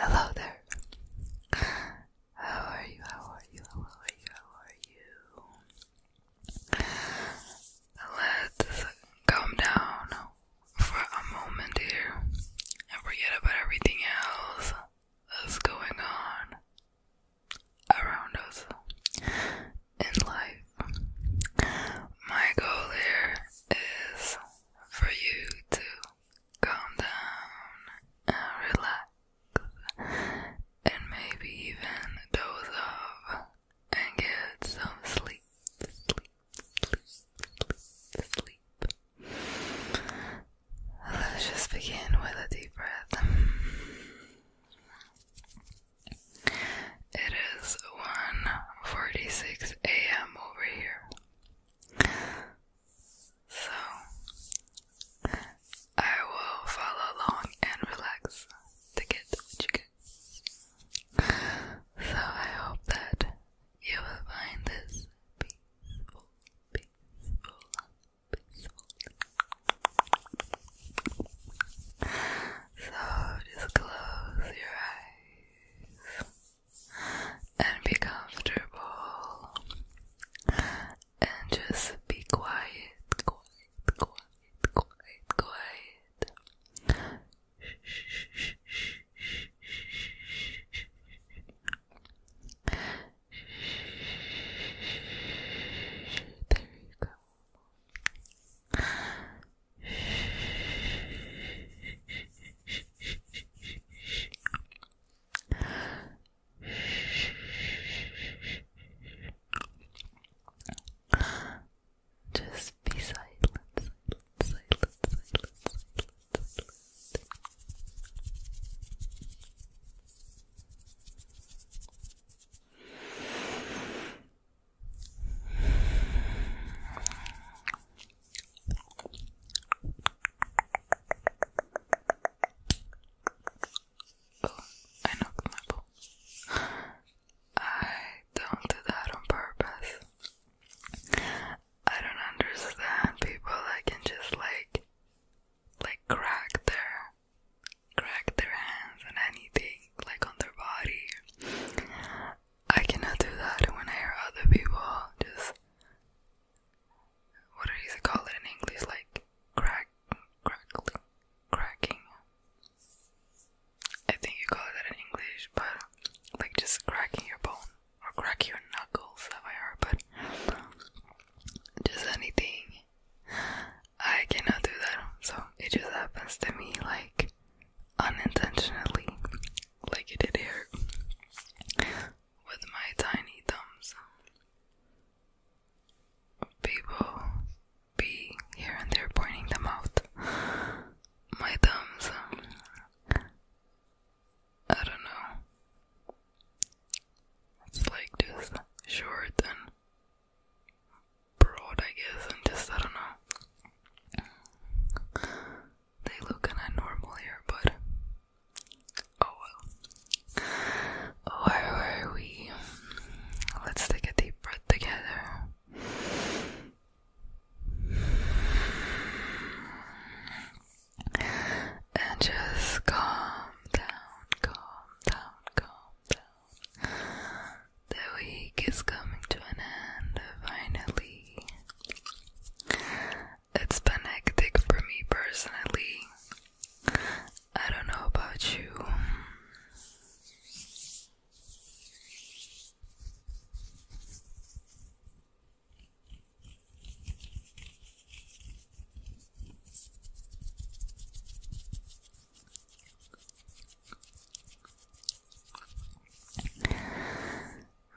Hello there. How are you? How are you? How are you? How are you? Let's calm down for a moment here and forget about everything else is going on around us in life. My goal here is for you to calm down and relax and maybe even doze off and get some sleep. Sleep, sleep, sleep, sleep. Let's just begin with a deep breath. It is 1:46 a.m. over here. So I will follow along and relax to get you get. So I hope that you will find this peaceful so just close your eyes and be comfortable and just be quiet, quiet, quiet, quiet, quiet. There you go. Just be silent, silent, silent, Oh, I knocked my ball. I don't do that on purpose. I don't understand people that can just like like crack their crack their hands and anything like on their body. I cannot do that when I hear other people just what is it called in English? Like crack crackling cracking. I think you call that in English, but like just cracking your bone or crack your knuckles, Sapphire, but just anything. I cannot do that, so it just happens to me like unintentionally, like it did here with my tiny thumbs. People be here and there pointing them out. My thumbs I don't know. It's like just short and broad, I guess, and just, I don't know. They look kinda normal here, but oh well. where are we? Let's take a deep breath together. And just calm down, calm down, calm down. The week is coming to an end, finally. It's been hectic for me personally. I don't know about you.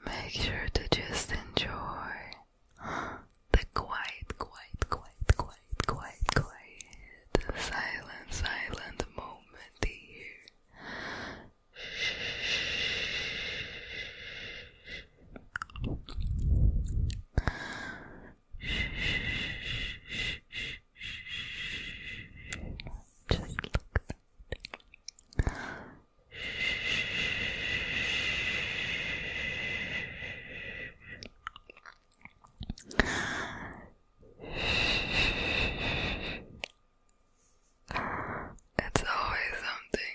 Make sure to just enjoy the quiet, quiet, quiet, quiet, quiet, quiet, silent, silent moment here. Just look at that. It's always something.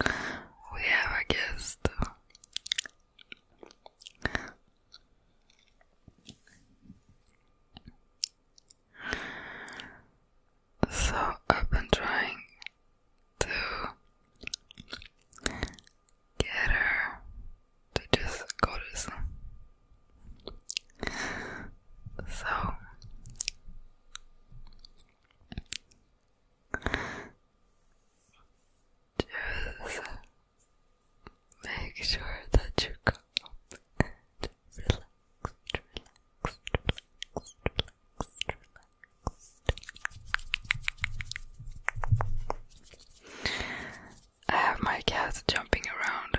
We have a guest. So I've been trying to get her to just go to sleep. So just make sure that you come relax, relax, relax, relax, relax. I have my cat jumping around.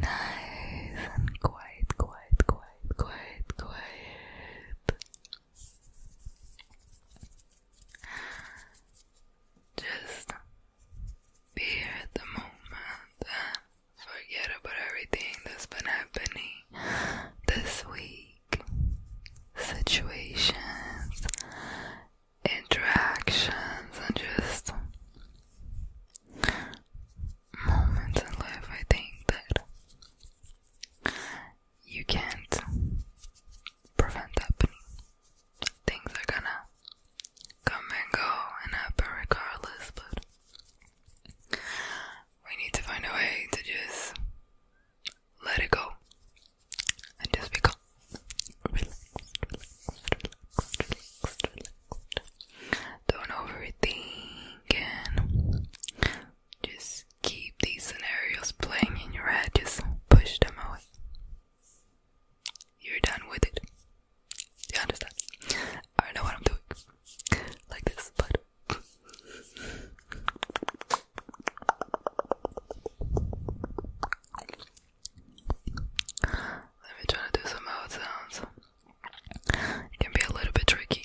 Nice and quiet, quiet, quiet, quiet, quiet. Just be at the moment forget about everything that's been happening this week. Situations, interactions, and just moments in life, I think that you can't prevent happening. Things are gonna come and go and happen regardless, but we need to find a way to just let it go and just be calm. Don't overthink and just keep these scenarios playing in your head. Just push them away. You're done with it. You understand? I know what I'm doing like this, but let me try to do some mouth sounds. It can be a little bit tricky.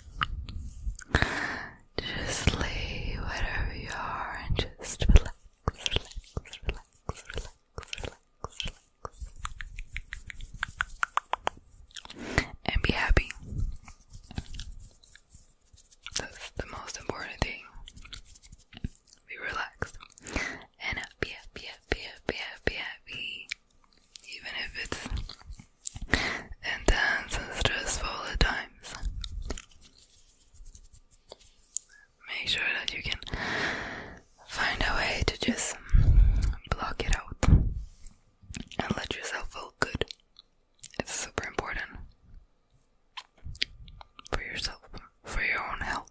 Just lay wherever you are and just relax, relax, relax, relax, relax, relax. And be happy. That's the most important thing. Be relaxed. And happy, happy, happy, happy, happy, happy even if it's intense and stressful at times. Make sure that you can find a way to just block it out and let yourself feel good. It's super important for yourself, for your own health.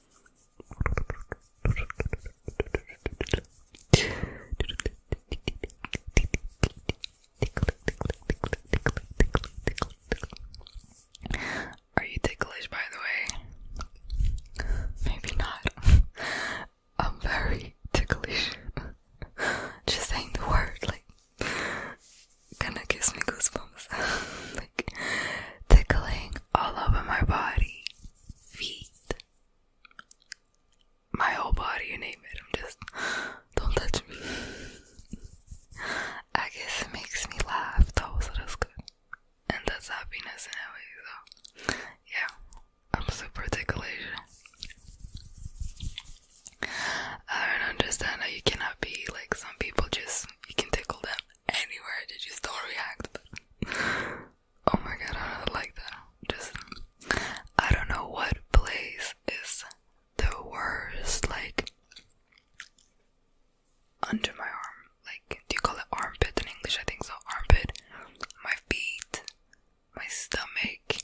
Are you ticklish, by the way? Maybe not. I'm very ticklish. Just saying the word, like, gonna gives me goosebumps. tickling all over my body, feet, my whole body, you name it. I'm just, don't touch me. I guess it makes me laugh though, so that's good. And that's happiness anyway, Though, yeah, I'm super ticklish. I don't understand how you cannot be like some people just you can tickle them anywhere did you still react. oh my god, I don't like that. Just I don't know what place is the worst. Like under my arm, like do you call it armpit in English? I think so. Armpit, my feet, my stomach,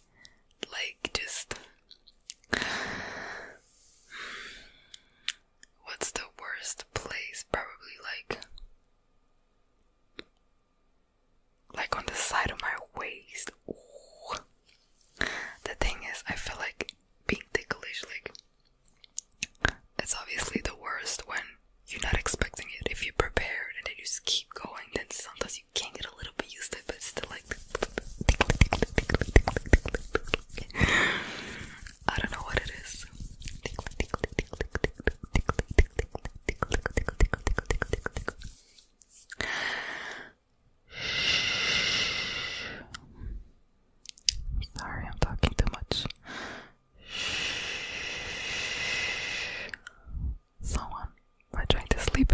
like just what's the worst place? Probably like like on the side of my waist. Ooh. The thing is, I feel like being ticklish, like it's obviously the worst when you're not expecting it. If you're prepared and then you just keep going, then sometimes you can get a little bit used to it, but still like I don't know what it is. Sorry, I'm talking too much. Someone by trying to sleep.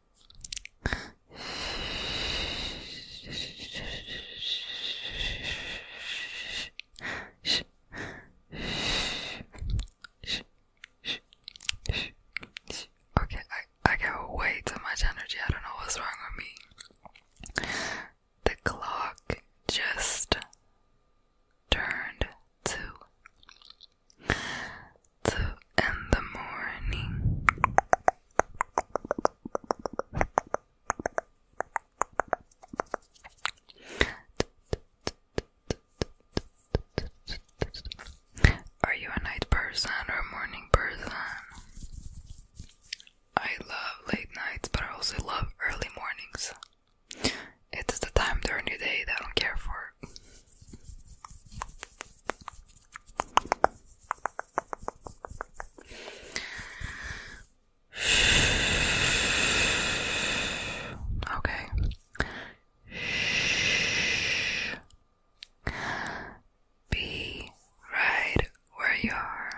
Okay, I I got way too much energy. I don't know what's wrong with me. The clock just turned two two in the morning. Are you a night person or a morning person? I love late nights, but I also love early mornings. It's the time during the day that I don't care for part. okay. Be right where you are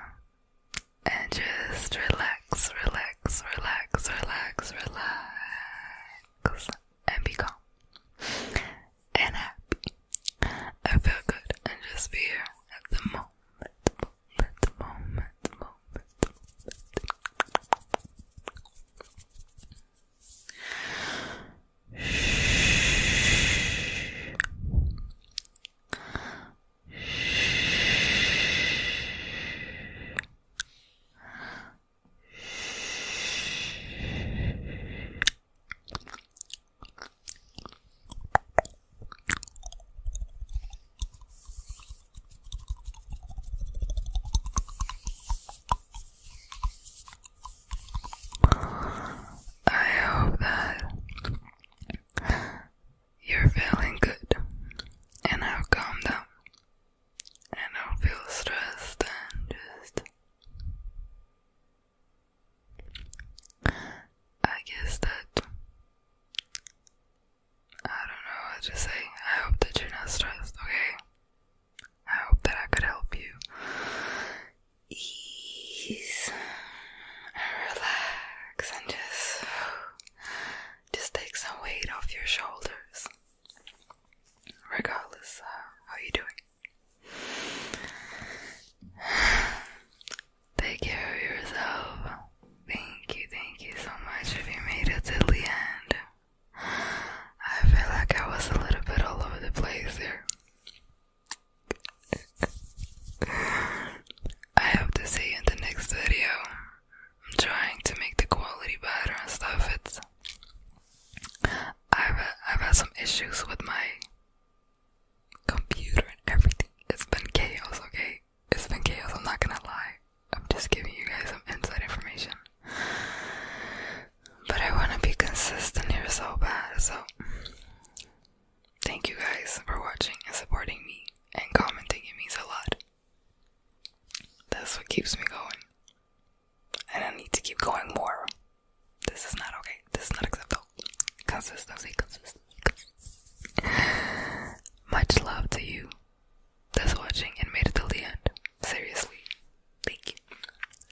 and just relax, relax, relax, relax, relax, and be calm and happy. I feel good and just be here at the moment, Shh. Shh. I hope that you're feeling good and i have calmed down and I feel stressed and just I guess that I don't know what to say. I hope that you're not stressed, okay? I hope that I could help you ease relax and just just take some weight off your shoulders regardless of how you're doing. Take care of yourself. Thank you, thank you so much if you made it to the end. I feel like I was a little bit all over the place there. I hope to see you in the next video. I'm trying to make the quality better and stuff. It's I've, I've had some issues with my computer and everything. It's been chaos, okay? It's been chaos, I'm not gonna lie. I'm just giving you guys some inside information. But I wanna be consistent here so bad, so thank you guys for watching and supporting me and commenting. It means a lot. That's what keeps me going and I need to keep going more. This is not okay. This is not acceptable. Consistency, consistency. consistency. Much love to you that's watching and made it till the end. Seriously, thank you.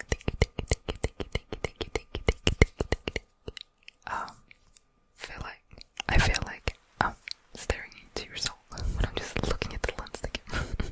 Thank you, thank you, thank you, thank you, thank you, thank you, thank you, thank you, thank you. Um, feel like I feel like I'm staring into your soul when I'm just looking at the lens. Thank you.